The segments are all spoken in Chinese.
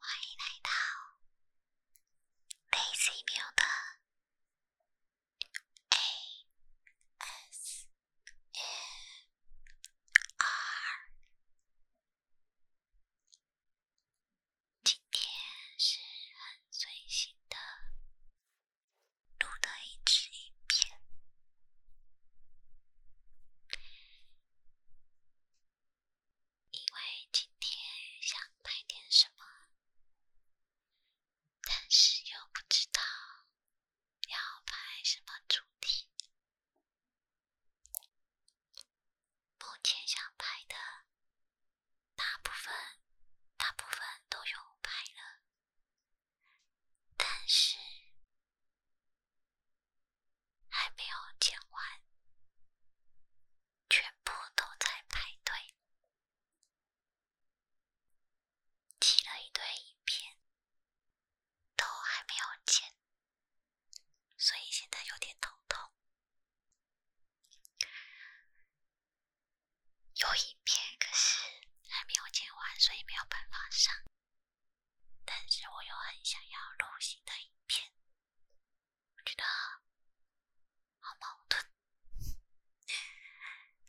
欢迎来到 Daisy 牧 A S F R，今天是很随性的录的一支影片，因为今天想拍点什么。但是又不知道要拍什么主题，目前想拍的大部分，大部分都有拍了，但是还没有剪完，全部都在排队。剪了一堆影片，都还没有剪，所以现在有点头痛。有影片，可是还没有剪完，所以没有办法上。但是我又很想要录新的影片，我觉得好矛盾。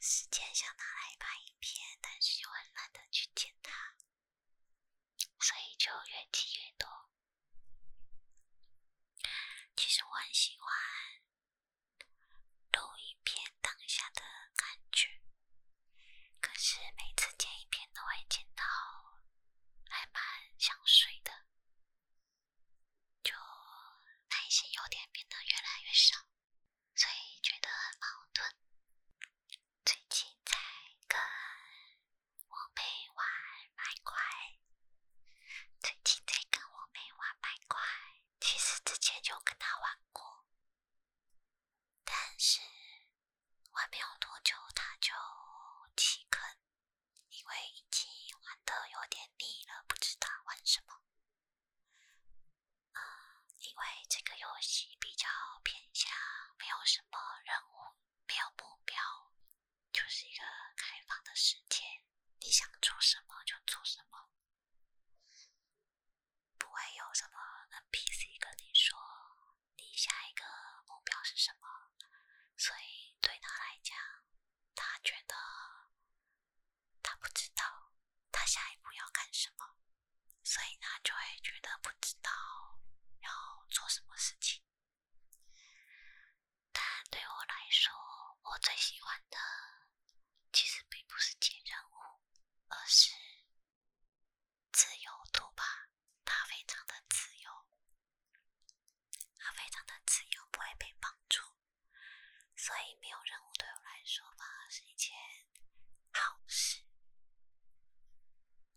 时间想拿来拍影片，但是又很懒得去剪它，所以就越积越多。其实我很喜欢录影片当下的感觉，可是每次剪影片都会剪到还蛮想睡的，就耐心有点变得越来越少。所以觉得很矛盾。最近在跟我妹玩麦块。最近在跟我妹玩麦块。其实之前就跟他玩过，但是玩没有多久他就弃坑，因为已经玩的有点腻了，不知道玩什么。因为这个游戏比较偏向，没有什么任务，没有目标，就是一个开放的世界，你想做什么就做什么，不会有什么 NPC 跟你说你下一个目标是什么，所以对他来讲，他觉得。他不知道他下一步要干什么，所以呢就会觉得不知道要做什么事情。但对我来说，我最喜欢的其实并不是接任务，而是自由度吧。他非常的自由，他非常的自由，不会被绑住。所以没有任务对我来说反而是一件好事，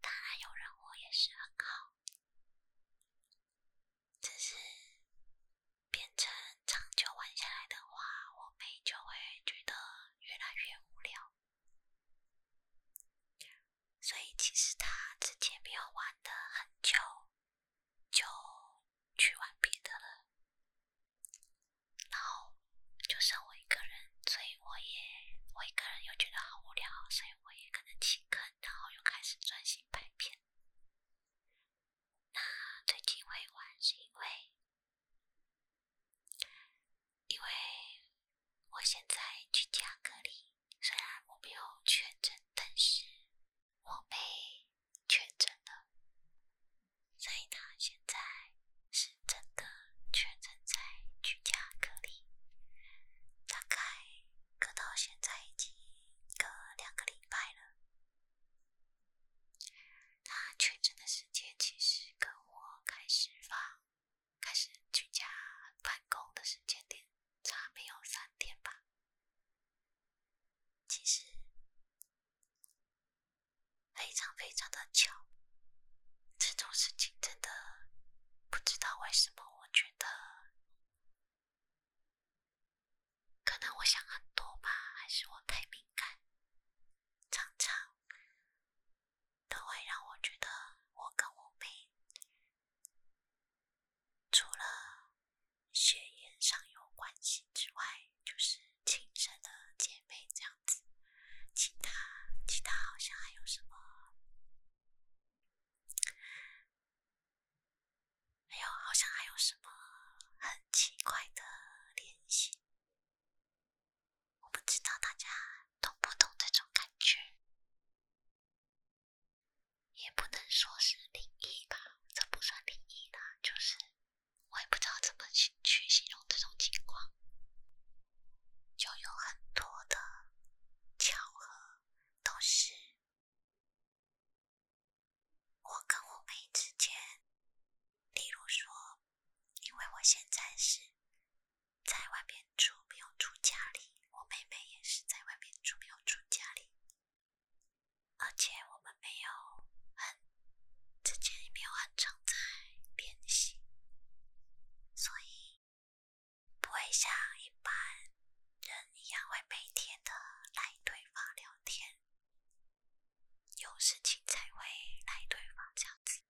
当然有任务也是很好，只是变成长久玩下来的话，我就会觉得越来越无聊。所以其实他之前没有玩的很久。就去玩别的了，然后就剩我一个人，所以我也我一个人又觉得好无聊，所以我也可能起坑，然后又开始专心拍片。那最近会玩是因为因为我现在去家隔离，虽然我没有确诊，但是。我被确诊了，所以他现在是真的确诊在居家隔离，大概隔到现在已经隔两个礼拜了。他确诊的时间其实跟我开始发、开始居家办公的时间点差没有三天吧。其实。非常非常的巧，这种事情真的不知道为什么，我觉得可能我想很多吧，还是我太敏感，常常都会让我觉得我跟我妹除了。血缘上有关系之外，就是亲生的姐妹这样子，其他其他好像还有什么，还有好像还有什么很奇怪的联系，我不知道大家懂不懂这种感觉，也不能说是灵异吧，这不算灵异的，就是。我也不知道怎么去去形容这种情况，就有很多的巧合，都是我跟我妹之间，例如说，因为我现在是在外面住，没有住家里，我妹妹也是在外面住，没有住家里。而且我们没有很，之前也没有很常在联系，所以不会像一般人一样会每天的来对方聊天，有事情才会来对方这样子。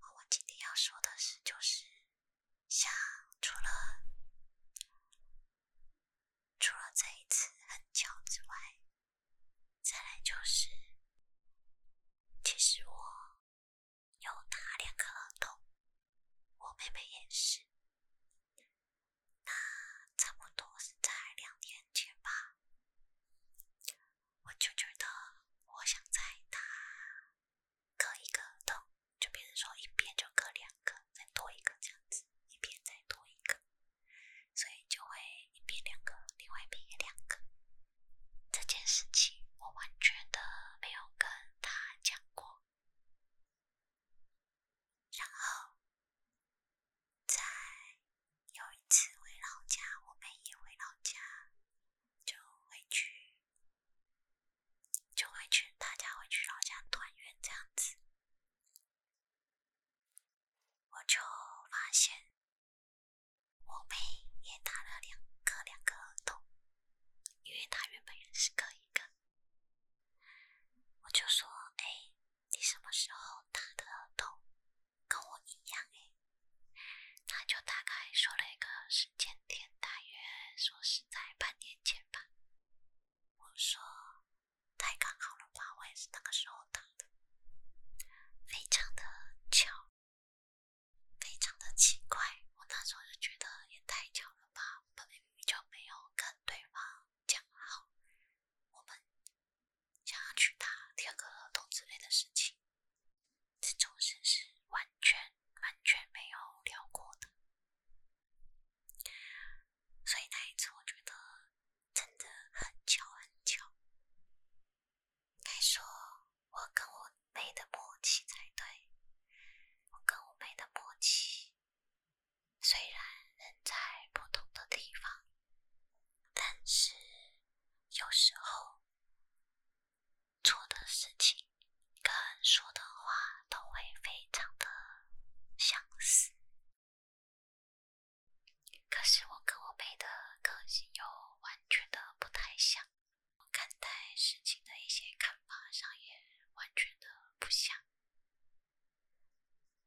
我今天要说的是，就是，像除了。除了这一次很巧之外，再来就是，其实我有打两个耳洞，我妹妹也是。那差不多是在两年前吧，我就觉得我想在打割一个洞，就比如说一边就割两个，再多一个这样子，一边再多一个。所以就会一边两个，另外一边也两个。这件事情我完全的没有跟他讲过。然后，在有一次回老家，我们也回老家，就回去，就回去，大家回去老家团圆这样子。我就发现我妹也打了两个两个耳洞，因为她原本也是各一个。我就说：“哎，你什么时候打的耳洞？跟我一样哎？”她就大概说了一个时间点，大约说是在半年前吧。我说。太刚好了吧！我也是那个时候打的，非常的巧，非常的奇怪。我那时候就觉得也太巧了吧！我们比没有跟对方讲好，我们想要去打第二个合同之类的事情，这种事是完全完全没有聊过的。所以那一次，我觉得真的很巧，很巧。该说，我跟我妹的默契才对。我跟我妹的默契，虽然人在不同的地方，但是有时候做的事情跟说的话都会非常的相似。可是我跟我妹的个性又完全的不太像，看待事情的一些看法上也完全的不像，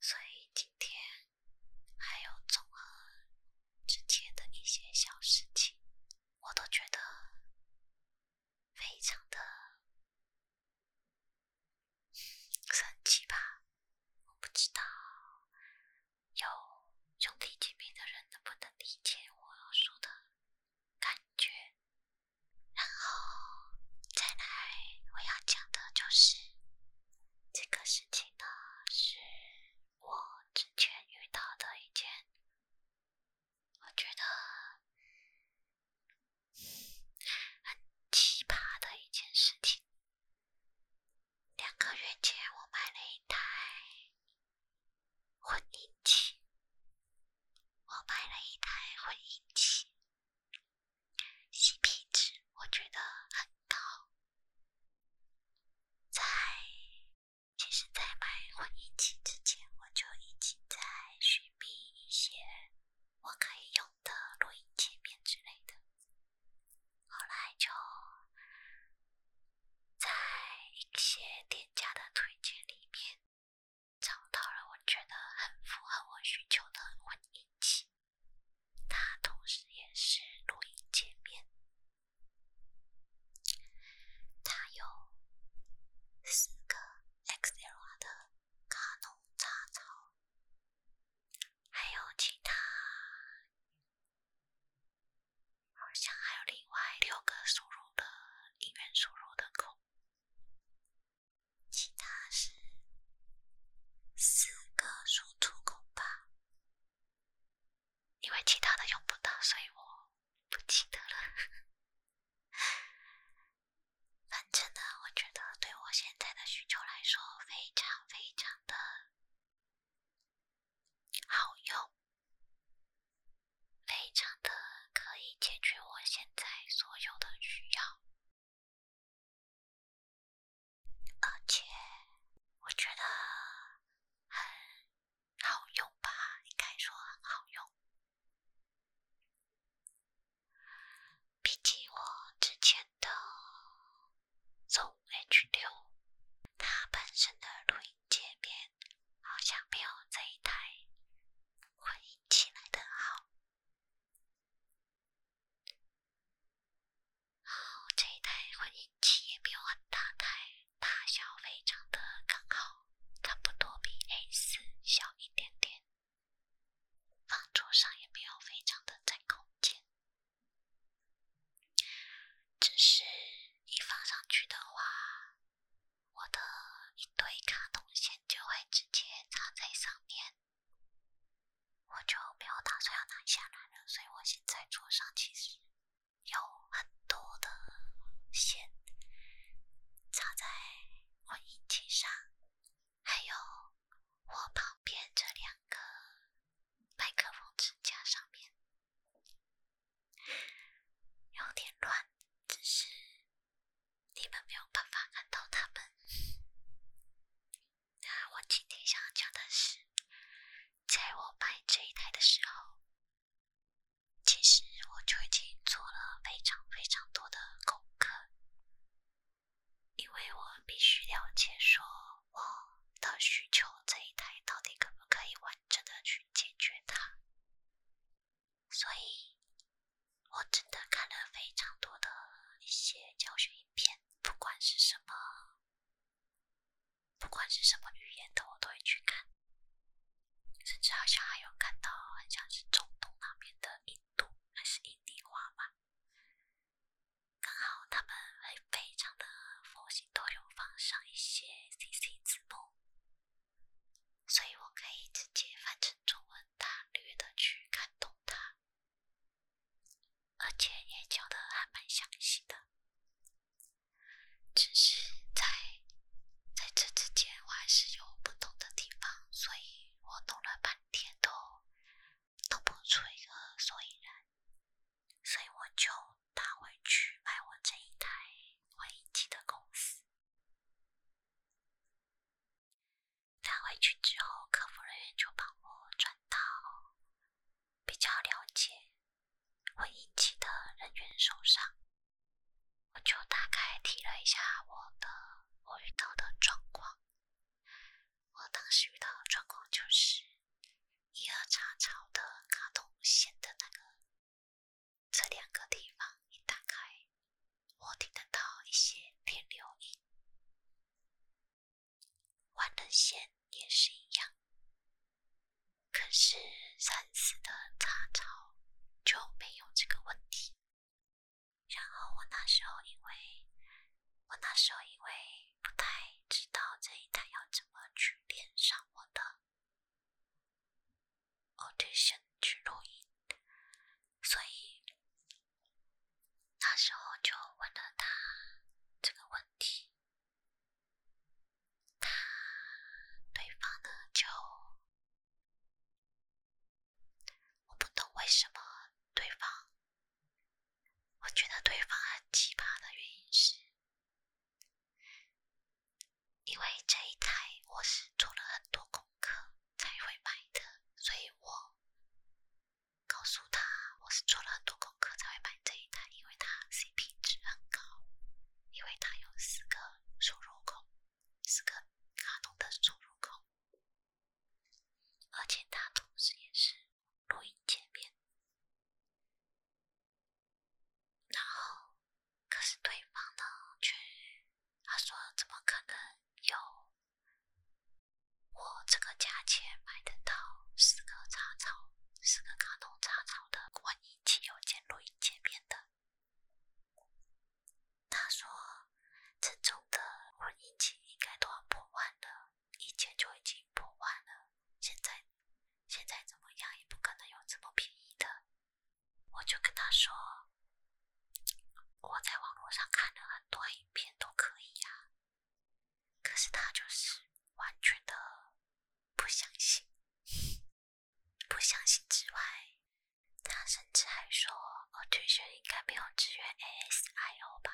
所以今天还有综合之前的一些小事情，我都觉得非常的。生气吧，我不知道有兄弟姐妹的人能不能理解我说的感觉。然后再来，我要讲的就是这个事情呢，是我之前遇到的一件，我觉得。很奇葩的一件事情。两个月前，我买了一台混音器。我买了一台混音器，起皮质，我觉得很高。在其实，在买混音器之前，我就已经在寻觅一些我可以用。的录音界面之类的，后来就在一些店家的推荐里面找到了我觉得很符合我需求的混音器，它同时也是录音界面，它有四个 XLR 的。卡农、插槽，还有其他，好像还有另外六个输入的，一元输入的口，其他是四个输出口吧，因为其他的用不到，所以我不记得了。反正呢，我觉得对我现在的需求来说，非常非常的好用，非常的可以解决我现在所有的需要，而且我觉得很好用吧，应该说很好用。比起我之前的从 H 六，它本身的录音界面好像没有这一台混音器来的好。这一台混音器也没有很大台，大小非常的刚好，差不多比 A 四小一点点。放桌上也没有非常的占空间，只是你放上去的话，我的一堆卡通线就会直接插在上面，我就没有打算要拿下来了。所以我现在桌上其实有很多的线插在我音器上，还有。我旁边这两个麦克风支架上面有点乱，只是你们没有办法看到他们。那我今天想要讲的是，在我拍这一台的时候，其实我就已经做了非常非常多的功课。因为我必须了解说我的需求，这一台到底可不可以完整的去解决它，所以我真的看了非常多的一些教学影片，不管是什么，不管是什么语言的，我都会去看，甚至好像还有看到很像是中东那边的印度，还是印尼话吧。刚好他们会非常的佛系，都有放上一些 CC 字幕，所以我可以直接翻成中文大略的去看懂它，而且也教的还蛮详细的。只是在在这之前我还是有不懂的地方，所以我弄了半。天都都不出一个所以然，所以我就打回去，买我这一台会议机的公司。打回去之后，客服人员就帮我转到比较了解会议机的人员手上。我就大概提了一下我的我遇到的状况。我当时遇到的状况就是，一二叉槽的卡通线的那个这两个地方一打开，我听得到一些电流音，万能线也是一样。可是三四的叉槽就没有这个问题。然后我那时候因为我那时候因为不太知道这一台要怎么去连上我的 audition 去录音，所以那时候就问了他这个问题，他对方呢就。我不懂为什么对方，我觉得对方很奇葩的原因是，因为这一台我是做了很多功课才会买的，所以我告诉他我是做了很多功课才会买这一台，因为它 CP 值很高，因为它有四个输入口，四个卡通的输入口。而且他同时也是录音界面，然后可是对方呢却他说怎么可能有我这个价钱买得到四个插槽、四个卡通插槽的万用器有兼录音界面的？他说：“正宗的婚姻期应该都要破万了，以前就已经破万了，现在现在怎么样也不可能有这么便宜的。”我就跟他说：“我在网络上看了很多影片，都可以呀。”可是他就是完全的不相信，不相信之外。他甚至还说，i o n 应该没有支援 ASIO 吧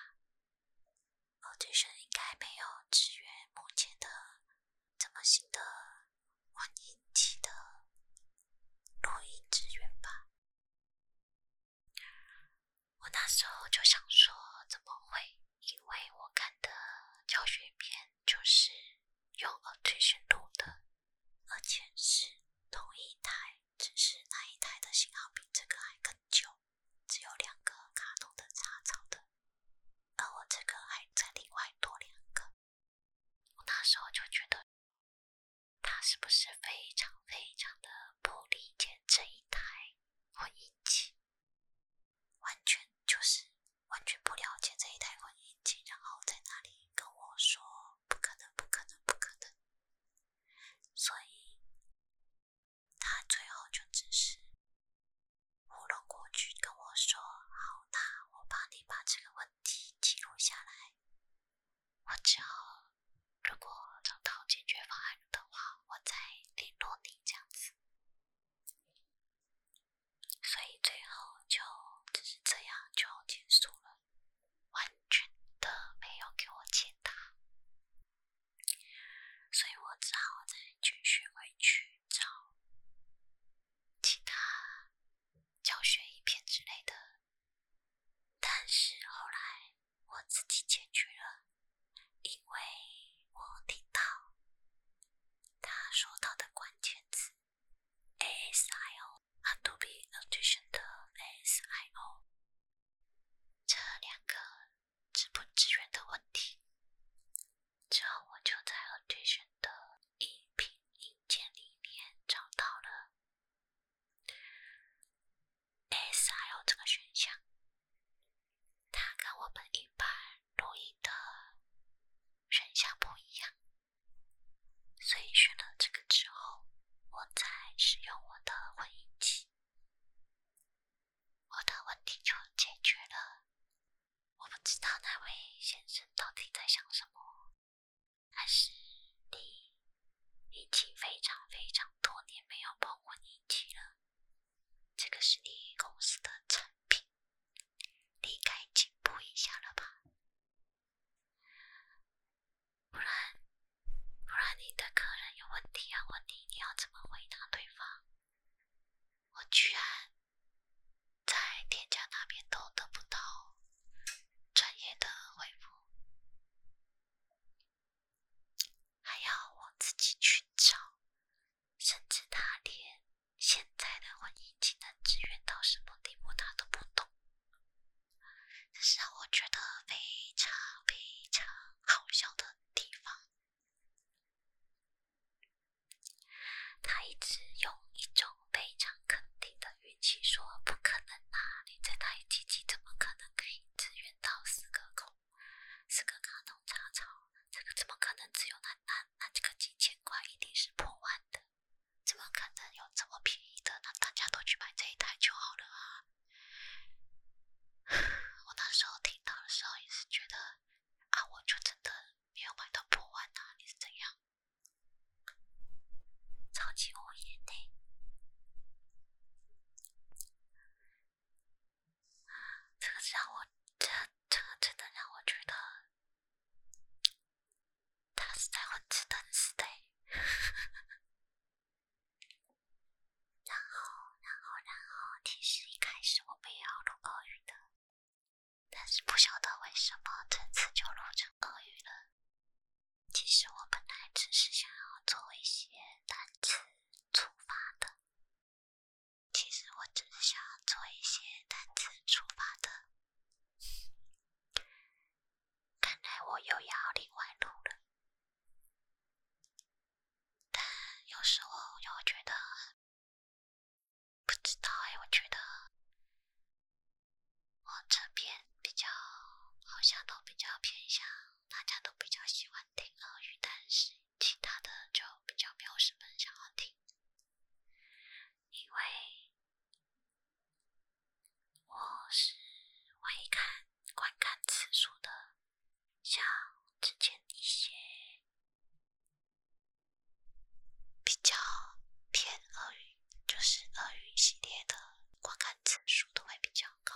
？i o n 应该没有支援目前的这么新的混音器的录音支援吧？我那时候就想说，怎么会？因为我看的教学片就是用 audition 录的。而且是同一台，只是那一台的型号比这个还更旧，只有两个卡通的插槽的，而我这个还在另外多两个。我那时候就觉得他是不是非常非常的不理解这一台婚姻机，完全就是完全不了解这一台婚姻机，然后在那里跟我说不可能，不可能，不可能。所以，他最后就只是糊弄过去跟我说：“好，那我帮你把这个问题记录下来。我之后如果找到解决方案的话，我再联络你。”这样子，所以最后就只是这样就结束了。完全的没有给我解答，所以我只好再继续回去找其他教学影片之类的。但是后来我自己解决了，因为我听到他说到的关键词 a s i o Adobe Audition 的 SIO 这两个资不支援的问题，之后我就在 Audition 的音频软件里面找到了 SIO 这个选项，它跟我们一般录音的选项不一样。所以选了这个之后，我再使用我的混音器，我的问题就解决了。我不知道那位先生到底在想什么，还是你已经非常非常多年没有碰过音器了？这个是你公司的产品，你该进步一下了吧。不然，不然你的客人有问题、问你，你要怎么回答对方？我居然在田家那边都得不到专业的回复，还要我自己去找，甚至他连现在的婚姻技能资源到什么地步，他都不懂。这是让我觉得非常非常好笑的地方。他一直用一种非常肯定的语气说：“不可能啊，你这台机器怎么可能可以支援到四个孔？四个卡农插槽，这个怎么可能只有那那那这个几千块一定是破万的。”怎么可能有这么便宜的？那大家都去买这一台就好了啊！我那时候听到的时候也是觉得，啊，我就真的没有买到破万啊，你是怎样？超级无言的。这个让我这这个真的让我觉得，他是在混吃等死的。然后，然后，然后，其实一开始我们也要录俄语的，但是不晓得为什么这次就录成俄语了。其实我本来只是想要做一些单词出发的，其实我只是想要做一些单词出发的。看来我又要另外录了，但有时候又觉得不知道哎。我觉得我这边比较好像都比较偏向，大家都比较喜欢听粤语，但是其他的就比较没有什么想要听，因为。我是会看观看次数的，像之前一些比较偏鳄鱼，就是鳄鱼系列的观看次数都会比较高，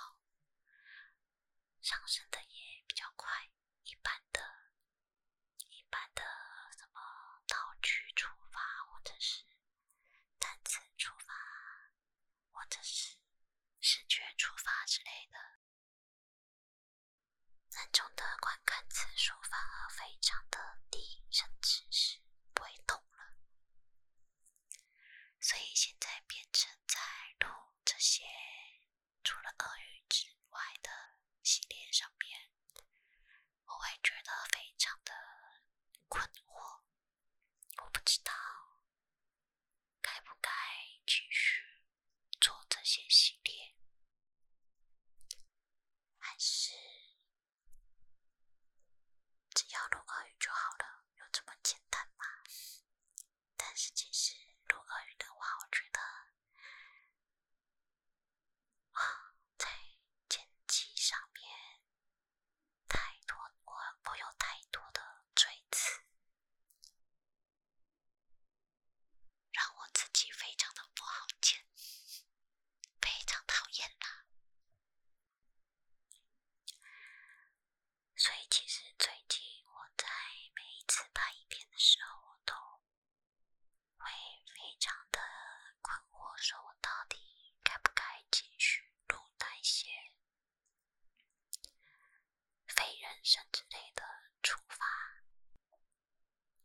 上升的也比较快。一般的、一般的什么道具触发或者是单次触发。或者是视觉触发之类的，那种的观看次数反而非常的低，甚至是不会动了。所以现在变成在录这些除了恶语之外的系列上面，我会觉得非常的困惑。我不知道该不该继续做这些系列，还是只要录俄语就好了？有这么简单吗？但是其实录俄语的话，我觉得啊，在剪辑上面。太多，我我有太多的罪词，让我自己非常的不好见，非常讨厌他。所以其实最近我在每一次拍影片的时候，我都会非常的困惑，说我到底该不该继续？鹿胆血、非人参之类的处罚。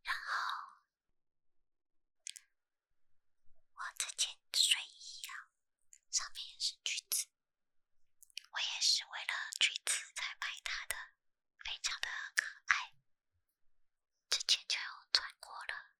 然后，我这件睡衣呀，上面也是橘子，我也是为了橘子才买它的，非常的可爱。之前就穿过了。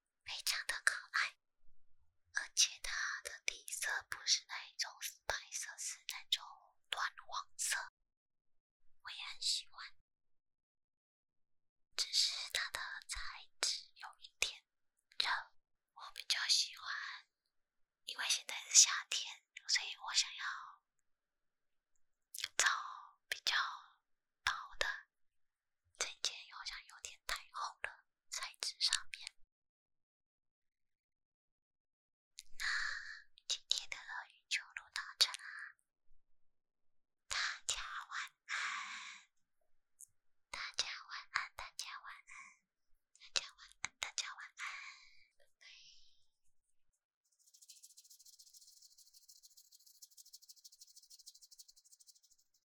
非常的可爱，而且它的底色不是那一种白色，是那种暖黄色，我也很喜欢。只是它的材质有一点热，我比较喜欢，因为现在是夏天，所以我想要找比较薄的。这件好像有点太厚了，材质上面。那今天的云丘路到这啦，大家晚安，大家晚安，大家晚安，大家晚安，大家晚安，